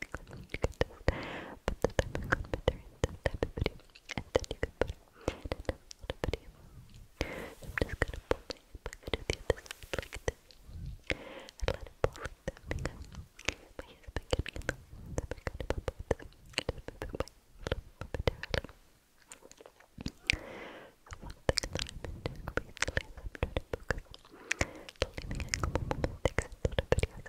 because you can just put the type of computer in this type of video and then you can put it in another video. So I'm just gonna pull my hip, I'm gonna do this like this. And let it pull like that because my hair's been getting a little bit kind of up with this. Just moving my little bit around. So one thing that I've been doing recently is I'm trying to focus on the leaning angle of my sticks in sort of videos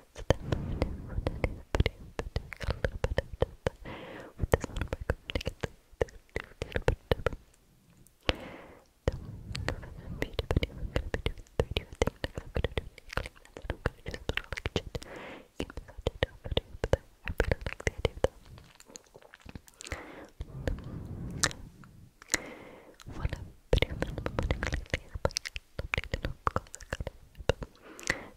So that's what I do, what I do, what I do, what I do. Got a little bit of dip with this little break up to get the little bit of dip. So, I'm going to be doing, I'm going to be doing three different things. Like I'm going to do clean that, I'm going to do a little like shit. Even though I did not video, but I really like the idea of that. One of the video that I'm putting like the air, but I love it, I love it, I love it.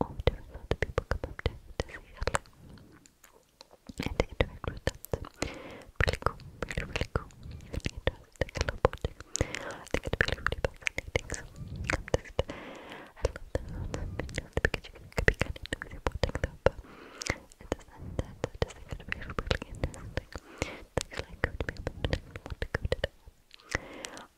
all different sorts of people come up to, to say hello and to interact with them. So, really cool, really, really cool. Really interesting. I love watching. I think it's really, really fascinating. So, I'm just, I love the sounds because you could be kind of noisy watching them, but in the sense that I just think it's really, really interesting. Things like, could be able to want to go to them.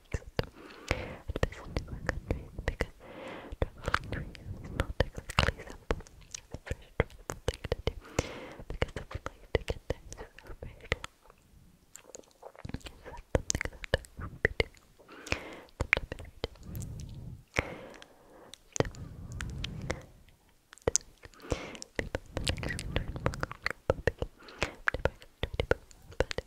relaxed and visit newer countries because traveling to Rio is not exactly simple. It's a fresh travel thing to do because the flight to get there is so very long. Is that something that I will be doing sometime in future? So, this week, we put the next return book on Club Puppy. I'm going to buy some Tweety Boo, but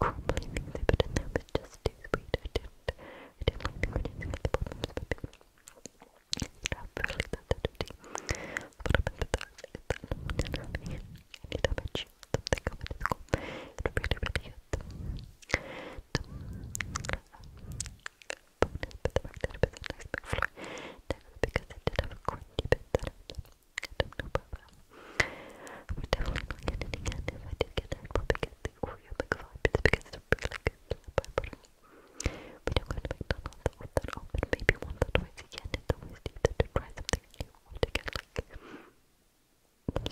crumbly things I put in there was just I didn't, I didn't like the anything at the bottom of the bottom. Stuff really that dirty. What happened with that is that no one can have any, any damage. Something coming to school. It really, really hit them. The, um, bonus, but the fact that it was a nice big floor. That was because it did have a crunchy bit that I don't know about that. I it I did get it. I'd probably the Oreo McFly pizza because it's really good flat butter. We don't go to McDonald's or that often, maybe once or twice again. It's always either to try something new or to get like some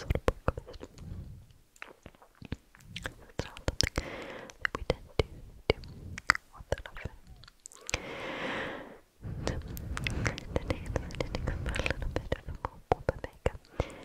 sort of breakfast. we tend to do all that often. So, the next one is a little bit of a more proper makeup.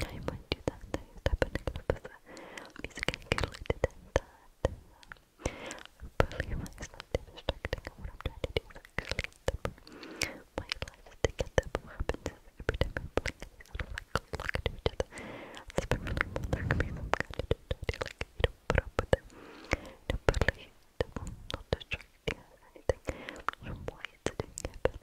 I might do that next. I've been music and get related and that. Probably my slightly distracting on what I'm trying to do is actually my life is together, but what happens is every I'm playing they sort of like look at each other. It's been really cool. There could be some kind of difficulty, like you don't put up with them. You don't believe it. Not distracting or anything. I don't know why it's doing it,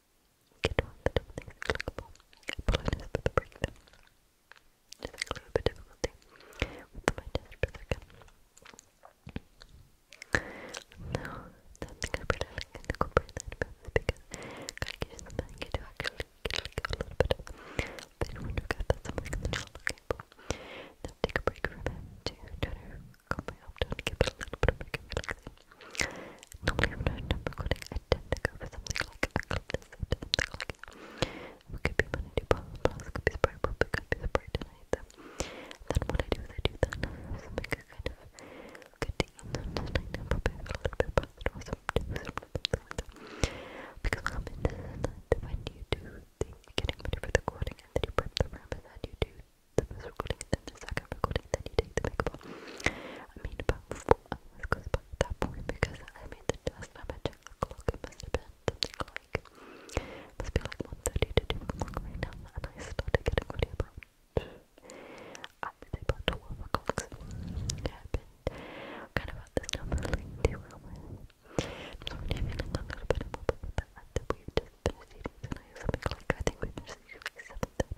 Get on the top things clickable. Apologize for the breakdown. Just a little bit difficulty with my test per second. No, something I really like and incorporate that both because calculation is something you do actually get a little bit of. Then when you get that something that you then take a break from it to try to calm my off down, a little bit of Normally I'm not done recording, I tend for something like a clip or could be Monday, Paula Plus, could be Spray Probably, could be Spray tonight Then what I do is I do that now, so kind of good deal then just like probably a little bit past it or something, something because what happens is that when you do the getting for the recording and then you prep the room and then you do the first recording and then the second recording, then you take the makeup off. I mean about that point because I made the test and I checked the clock, must have been something like must be like 1.30 to 2 o'clock right now and I started getting ready about I would say about 12 o'clock yeah, i kind of at this now for like 2 a little bit of a that we just finished eating tonight something like I think we finished eating like 7.30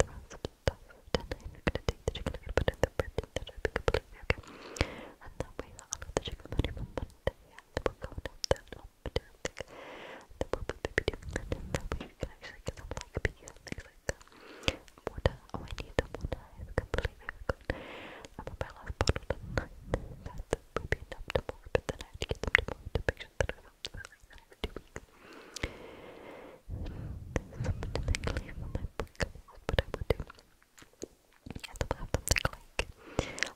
thrust stuff down I'm gonna take the chicken, i gonna put it in the fridge then I pick up later, okay? And that way I'll have the chicken ready for Monday and then we'll go and have that the desk then we'll be maybe doing that and we can actually get some like beer things like that water, oh I need the water, I've completely forgotten I'm on my last bottle tonight that will be enough tomorrow but then I get them tomorrow the next something clear on my book, but I do. I thought have something like, love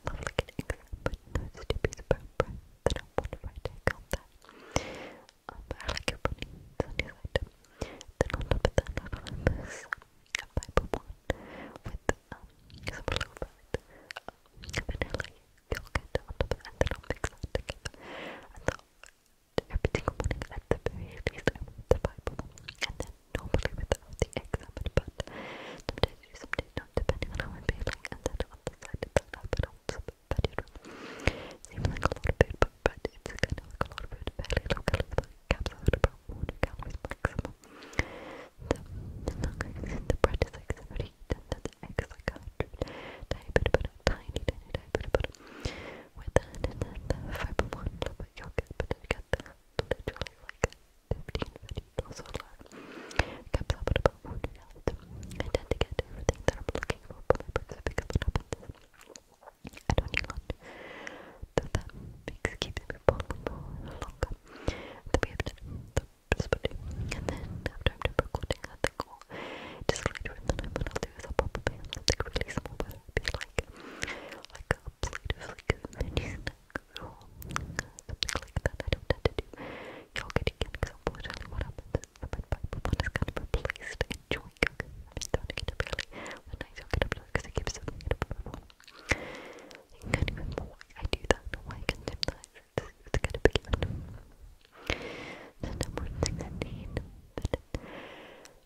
like an exam, but no stupid paper, then I wonder if I take on I like your bunny, it's on your side. Then on top of that, I found this Bible one with um, some little bit of vanilla you'll get on top of it and then I'll mix And so every single morning at the very the Bible. And then normally without the exam, but sometimes you sometimes not depending on how i and then on the side of that on some vegetable. Seems like a lot of food but, but it's kind of like a lot of food, fairly low calories, like caps out about 100 calories maximum. The, bread is like 70, then the egg is like 100, diabetes, but tiny, tiny, tiny bit about it. With that, and then the fiber one, a little bit yogurt, but then got that literally like 15 videos or so. Comes up at about 1 out. I get everything that I'm looking for from I pick up what happens. I do that makes keeping me more longer. Then we have dinner spooning. And then after I'm done recording, I think I'll disclaimer and then what I'll do is I'll probably like release more whether it be like like a plate of like a mini snack or that. I don't to do yogurt again because unfortunately what happens is the red pipe one is kind of replaced in I don't get a really a nice yogurt up because it keeps something up everyone. You can kind of even more I do that in I can that it's, gonna be good. The number thing I need to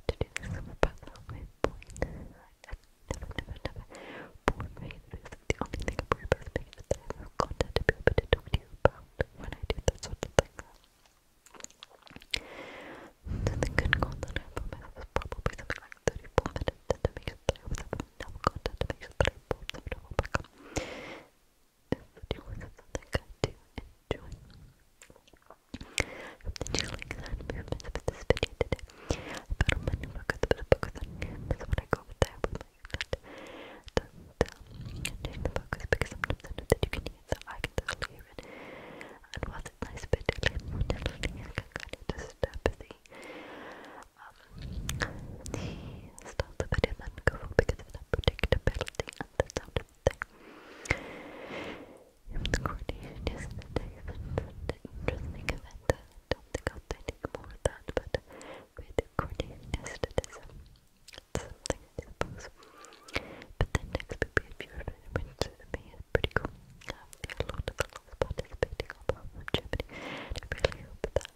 do this summer puzzle with point. I never, never, never born right because the only thing I'm worried about is making it that I have content to be able to talk to you about when I do that sort of thing. the good I have for myself is probably something like 34 minutes to make sure that I have enough content to make sure that I board them to if you want something good to enjoy. Hope you like that movements with this video today. I put on my new book, put a book that's what I go with there with my that doesn't um, change the focus because sometimes I know that you can hear it, so I can totally hear it. And while it's nice but definitely I can kind of disturb uh, the um the styles of video men go of that predictability and the sound the thing. If the coordination is the day an interesting event, more of that, but with coordinationism, it's something I But then next would be a is pretty cool. Um, there are a lot of girls participating all over Germany, I really hope that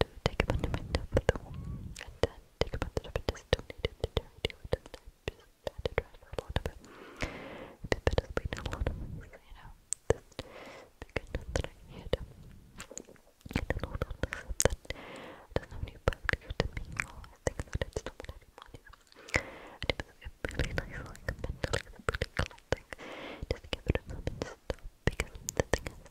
to take abandonment of the womb and then take advantage of it is donated to charity just had to try a lot of it. It's better speed a lot of you know. This beginning that I had and all of this that doesn't have any particular to me or I think that it's not what And it was a really nice like mentally really cool thing. Just give it a moment stop because the thing is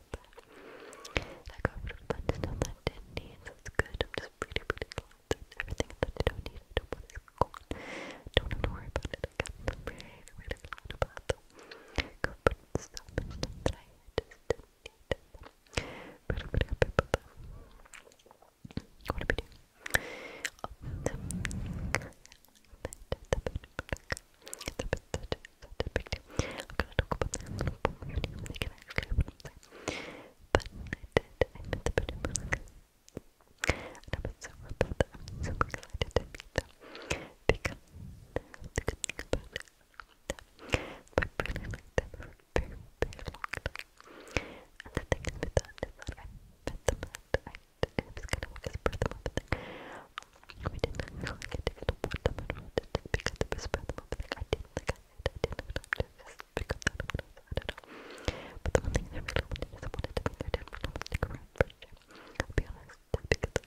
from that. I got rid of a bunch of stuff that I didn't need, so it's good. I'm just pretty, pretty glad that everything that I don't need, I don't want is gone. Don't have to worry about it again. I'm really, really glad about them. Got rid of so much stuff that I just didn't need. Pretty, pretty happy about that. What do we do? I'm gonna talk about that in a little bit. They can actually open up but I did. I met the pretty Malika. And I've been so about that. I'm super excited to meet them. Because the good thing about it is that I've really liked them for a very, very long time. And the thing with that is that I met them and I it was kind of like a spread them open thing. We didn't actually get to get to put them and we did it because it was spread them open thing. I didn't like I I didn't look it up, just because I don't know, I don't know. But the one thing I really wanted is I wanted to meet their dad when I was stick around for sure. I'll be honest, because I just,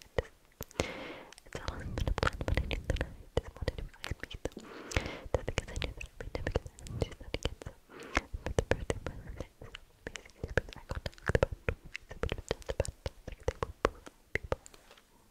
it's all been a plan, but I knew that I just wanted to really meet them. Just because I knew that I'd meet them because I didn't do that again, so. But the first thing was, it was amazing, because I got to talk about, so we just talked about, like, they were both people.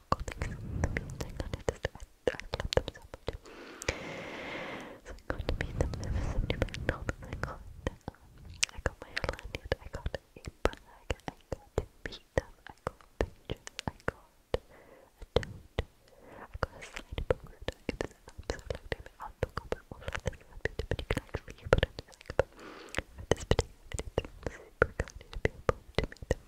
Marco, thank you so much for being there. I I, I them so I'm going to meet them there for 70 right I got, um, I got my lanyard, I got a bag, I got to meet I got pictures, I got a tote, I got a slide booklet. It is an absolute I'll talk about I'm saying about I'm super excited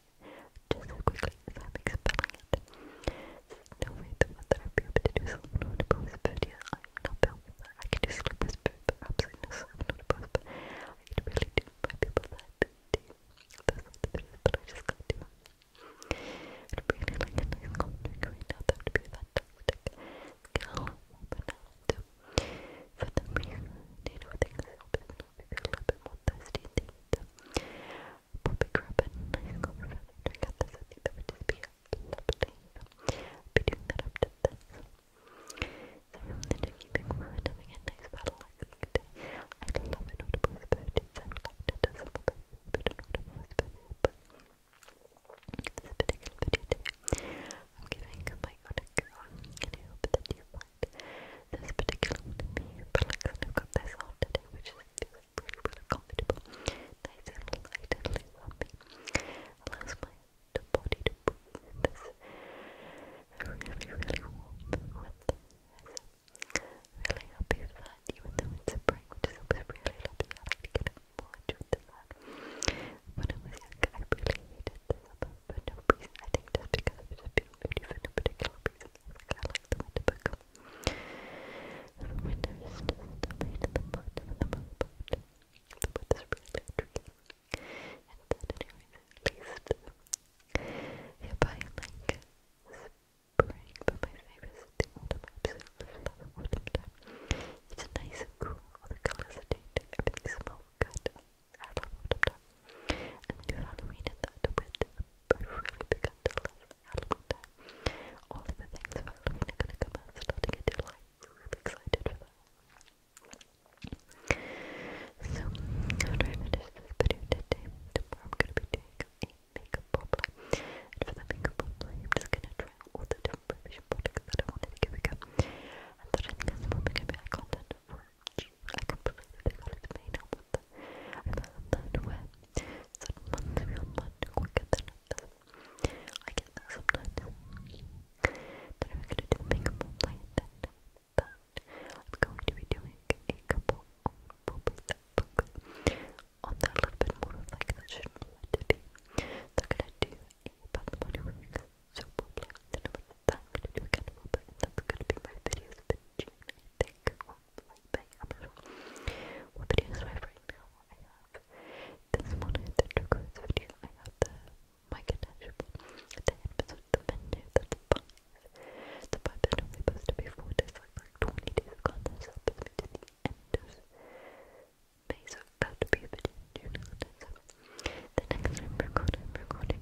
just quickly I'm expelling it. no way that mother will to do something on I'm not built for that. I can do sleep with absolutely no sleep I really do by people that do those sorts of things, but I just can't do it. i really like a nice cold drink right now, that would be fantastic. Skill, but now, so, for the reason, you know, things help, I'll be a little bit more thirsty, Bobby Grubbin, nice call for I got this, I think that would just be lovely. I'll be doing that after this. So I'm going to keep in mind having a nice battle like today. I love an audible spurting, so I'd like to do some of those, but an audible spurting, but this particular video today, I'm giving my own a go, and I hope that you find this particular one to be relaxing. I've got this all today, which is feel pretty, really comfortable, nice and light and fluffy. Allows my body to breathe this really, really warm really happy that, even though it's a break, which is always really lovely. I like to get up more into When I was younger, I really hated the summer for no I think just because I've just been moody for no particular reason. I, like, the winter, the winter just the pain in the butt and the butt butt. The butt is And then anyways, at least if I like spring, but my favorite is the autumn. I absolutely It's nice and cool, all the colors are dead, everything smells good. I love autumn And then you Halloween in that with I really began love Halloween time. All of the things for Halloween are gonna come out starting in July. am really excited for that. So, after this video today, tomorrow I'm gonna be doing a makeup roleplay. for the makeup roleplay, I'm just gonna try all the different revision products that I wanted to give a go. And that I think is gonna be my content I completely forgot it's made up with I found that where certain ones feel much quicker than others. I get sometimes. Then I'm going to do makeup on my but I'm going to be doing a couple on probably that book on that little bit more of like that shouldn't let I'm going to do a bad body work, so probably then I'm going to do a little that's going to be my videos for June, like bang What videos do I have right I have this one, the turquoise video, I have the mic attachable, the episode, the menu, that's five. The five that only posted before this, like, like 20 days of content, so that puts me to the end of May, so that would be a video the next time i recording, recording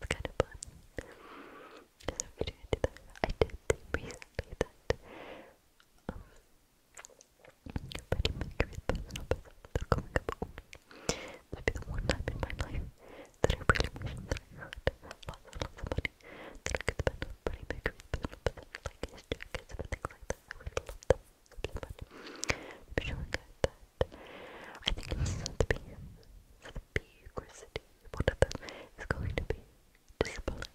it's kind of fun. I did think recently that um, Freddie Mercury's personal persona, the comic up the one time in that I really wish that I had lots and lots of money that I could spend on Freddie Mercury's personal like his jackets like that. I would love them so much. But showing out that I think it's Sotheby's, Sotheby's or City, one of going to be displaying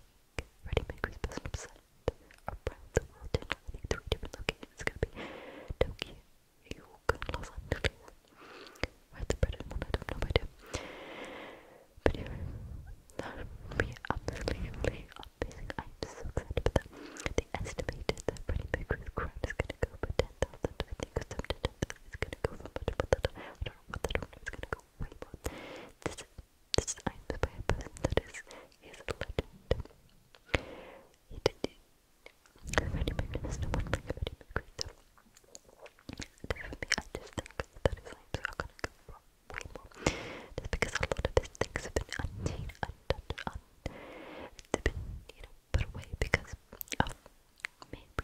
Freddie Mercury's personal set around the world I think three different locations. It's going to be Tokyo, New York, not know, I do. I'm so excited about that. They estimated that Freddie Mercury's crowd is going to go for 10,000, I think, or something. It's gonna go from much, I don't know what that one gonna go way more. This, this I'm by a person that is, is a legend. He did it. Freddie there's no one like Freddie Mercury, so. Okay, I just think that is lame, so I'm gonna go way more. Just because a lot of his things have been unseen, undone, un. They've been, you know, away because of maybe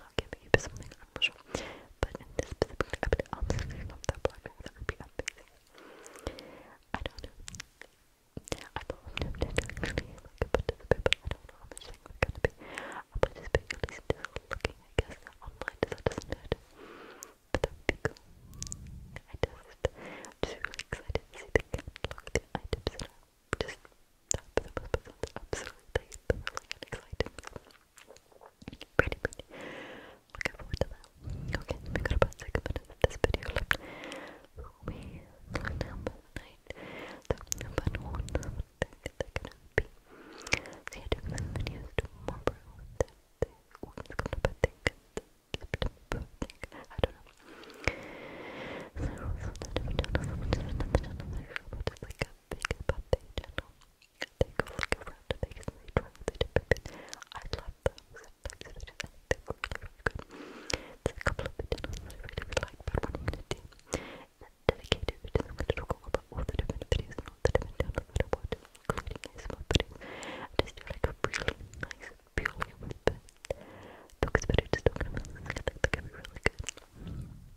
Okay, maybe something I'm not But in this specific episode, I'm thinking of that black that would be amazing. I don't know. I don't know actually like a not gonna be. I'll probably just be at least looking, I guess, online as I does But that cool. I just really excited to see the catalog, the items and I'm just that absolutely thrilling and exciting. Pretty, pretty. Looking forward to that. Okay, we got about six minutes of this video left. We cleaned up night. So, about one of they're be. So, yeah, doing videos tomorrow. Thursday. Oh, it's coming up, I I don't know. So, like a big birthday channel. Take a look around the a bit of I love them sometimes, they just, I think a couple of videos I really, like, but what i dedicated to talk all about all the different videos and all the different downloads that I watch, I just do like a really nice, purely whisper focus video just talking about this, I think that could be really good.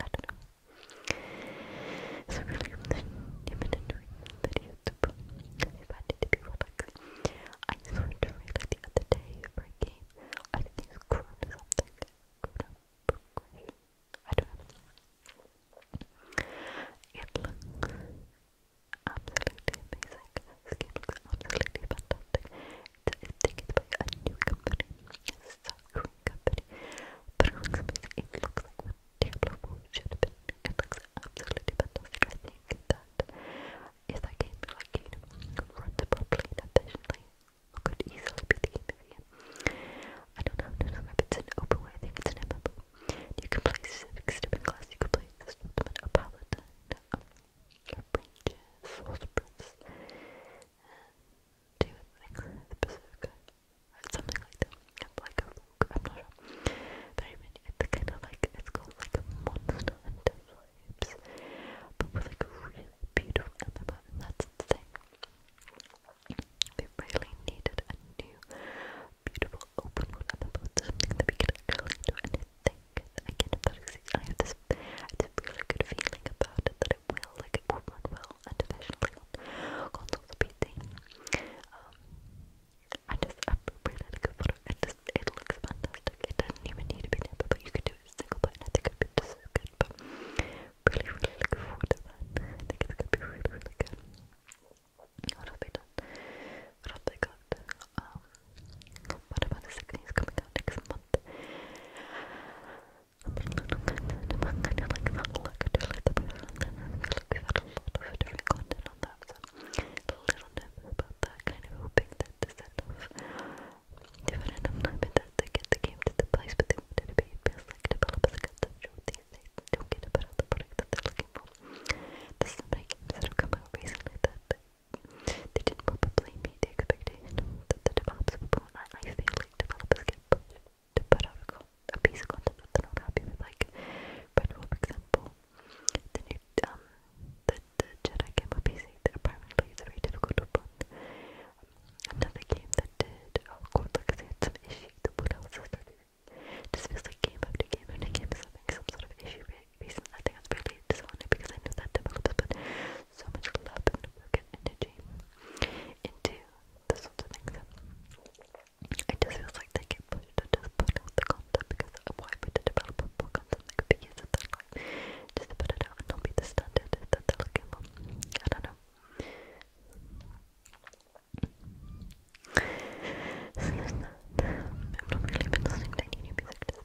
I don't know. So really, I've been enjoying YouTube. If I need to be relaxed, I saw a trailer the other day for a game. I think it's Chrono something. I don't know. It absolutely amazing. absolutely fantastic that is taken by a new company, a South Korean company. But it looks amazing. It looks like what Diablo 4 should have been. It looks absolutely fantastic. I think that if that game like you know, runs properly and efficiently, it could easily be the game of I don't know, I don't know if it's an open world, I think it's an MMO. You can play six different classes, you can play a swordsman, a paladin, um, a to I think the Pacifica, something like that. Like I'm not sure. Very many. It's kind of like it's called like a monster hunter vibes, but with like really beautiful animal, and that's the thing. We really needed a new, beautiful, open world animal, something that we could actually do. And I think again, if I have this, I have this really good feeling about it that Well like a woman will, unconditionally, consultation. Um, I just, I really like a photo, it just, it looks fantastic, it doesn't even need to be numbered, but you could do it single button, I think it would be just good, but really, really look forward to that, I think it's gonna be really, really good. What done? What else Um, what about the 16 coming out next month? lot of different content on that, so I'm a little nervous about that, kind of hoping that the set-off different environment that they get the game to the place but they want it to be, it feels like developers got the job these days, they don't get a bit of the product that they're looking for. There's so many games that have come out recently that they, they didn't probably meet the expectation that the developers of Fortnite, I feel like developers get pushed to a, piece of content that they're not like for example. The new, um, the, the Jedi game on PC that apparently is very difficult to run. another game that did, oh god, look, some issues, the wood house is feels like game after game after game is having some sort of issue I think that's really disheartening because I know that developers so much love and energy into the sorts of things. It just feels like they get pushed to the content because why would a developer put content that could be used in their life? Just to put it out and not be the standard that I don't know. I've not really been any new music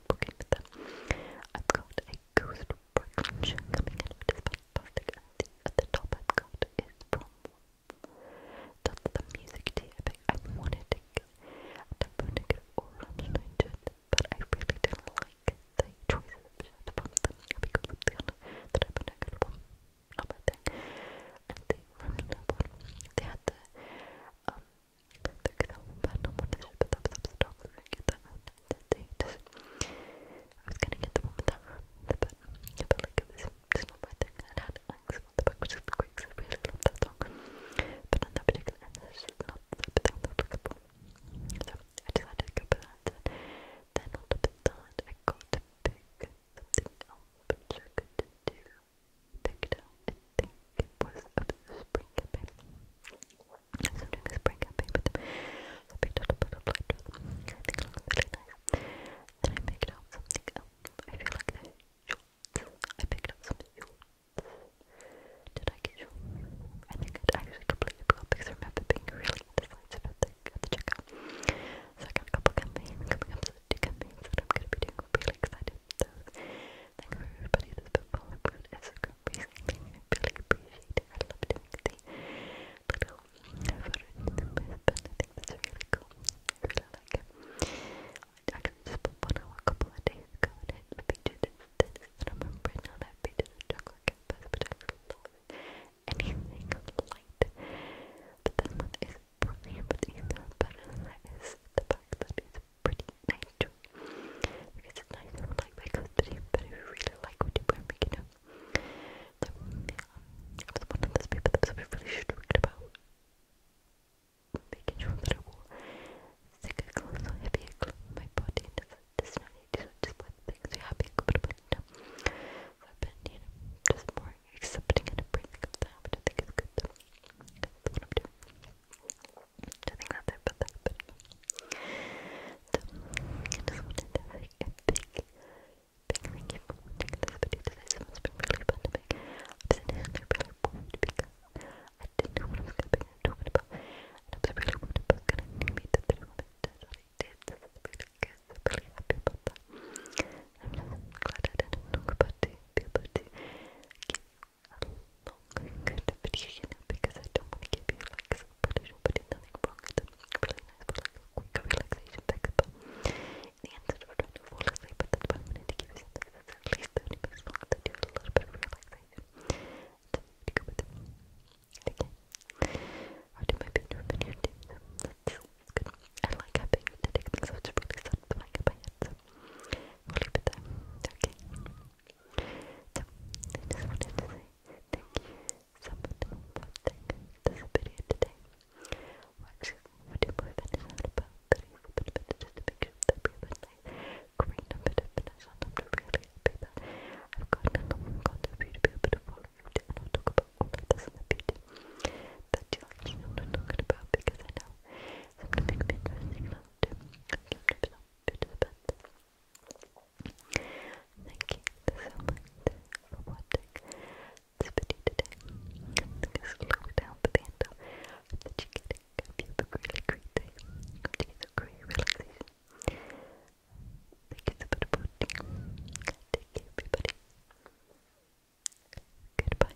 booking with them. I've got a ghost brooch coming in, which is fantastic. And at the top I've got is from that's the music tea. I wanted to get, I wanted to get orange nitrate, but I really didn't like the choices of shirts from them because the other that I've been to from. Not my thing. And the remnant they had the um, Venom, what is I was gonna get that out. I was gonna get the one that room, the button. Yeah, but like it was just not my thing. I had angst about the book, which is I really love that song. But on that particular end, it's just not the type I was looking for. to go for that Then I got to pick something I couldn't do. TikTok, I think it was of spring campaign. So spring campaign with them. picked out a butterfly to I think it looks really nice. Then I picked out something I feel like the I picked up some Did I get shorts? I think i actually completely because I remember being really indecisive at the, So I got a couple campaigns coming campaigns that I'm going to be doing really excited. So, thank you everybody that's been following me on Instagram recently. I really appreciate it. I love doing the little photos with my husband. I think that's really cool. really like it. I actually just put one a couple of days ago and it And I remember now that I featured chocolate but I love anything light. But this one is brilliant, but even better than that is the pretty nice too. Because it's nice and like my custody, but I really like what you wear, you know. So, yeah, I was one of those people that really strict about making sure that I wore thicker clothes or heavier clothes my body. Does not need to just wear the things you have been comfortable in. So I've been, you know, just more accepting and embracing of that, which I I'm doing. I think that's it, but that's it. So, I just wanted to say a big, big thank you for watching this video today. Someone's been really fun to make. I was in here really worried because I didn't know what I was going to be talking about. And I was really worried about going to animate this video, but that's what I did. This is really good. I'm really happy about that. I'm just glad I didn't talk about it, be able to give a long, good video, you know, because I don't want to give you like some footage or put nothing wrong. It's really nice for like a quick relaxation pick up. In the end, sort of trying to fall asleep, but that's why I wanted to give you something that's at least 30 minutes long that do a little bit of relaxation. So, to go with it. Okay. I'll do my video video too, so that's good. I like having to take things out, it's really sad, but I get my head, so. We'll leave it there. Okay. So, I just wanted to say thank you so much for watching this video today. Watch what your boyfriend is all about. That is a bit of it just to make sure that we have a nice green a bit of finish on. I'm really happy that I've gotten a long content for you to be able to follow me and I'll talk about all of this in the future that you actually know what I'm talking about because I know some of the big pictures, you know, Thank you so much for watching this video today. I'm going slow down for the end of you have a really great day. you get a great relaxation. Thank you so much for watching. Take care, everybody. Goodbye.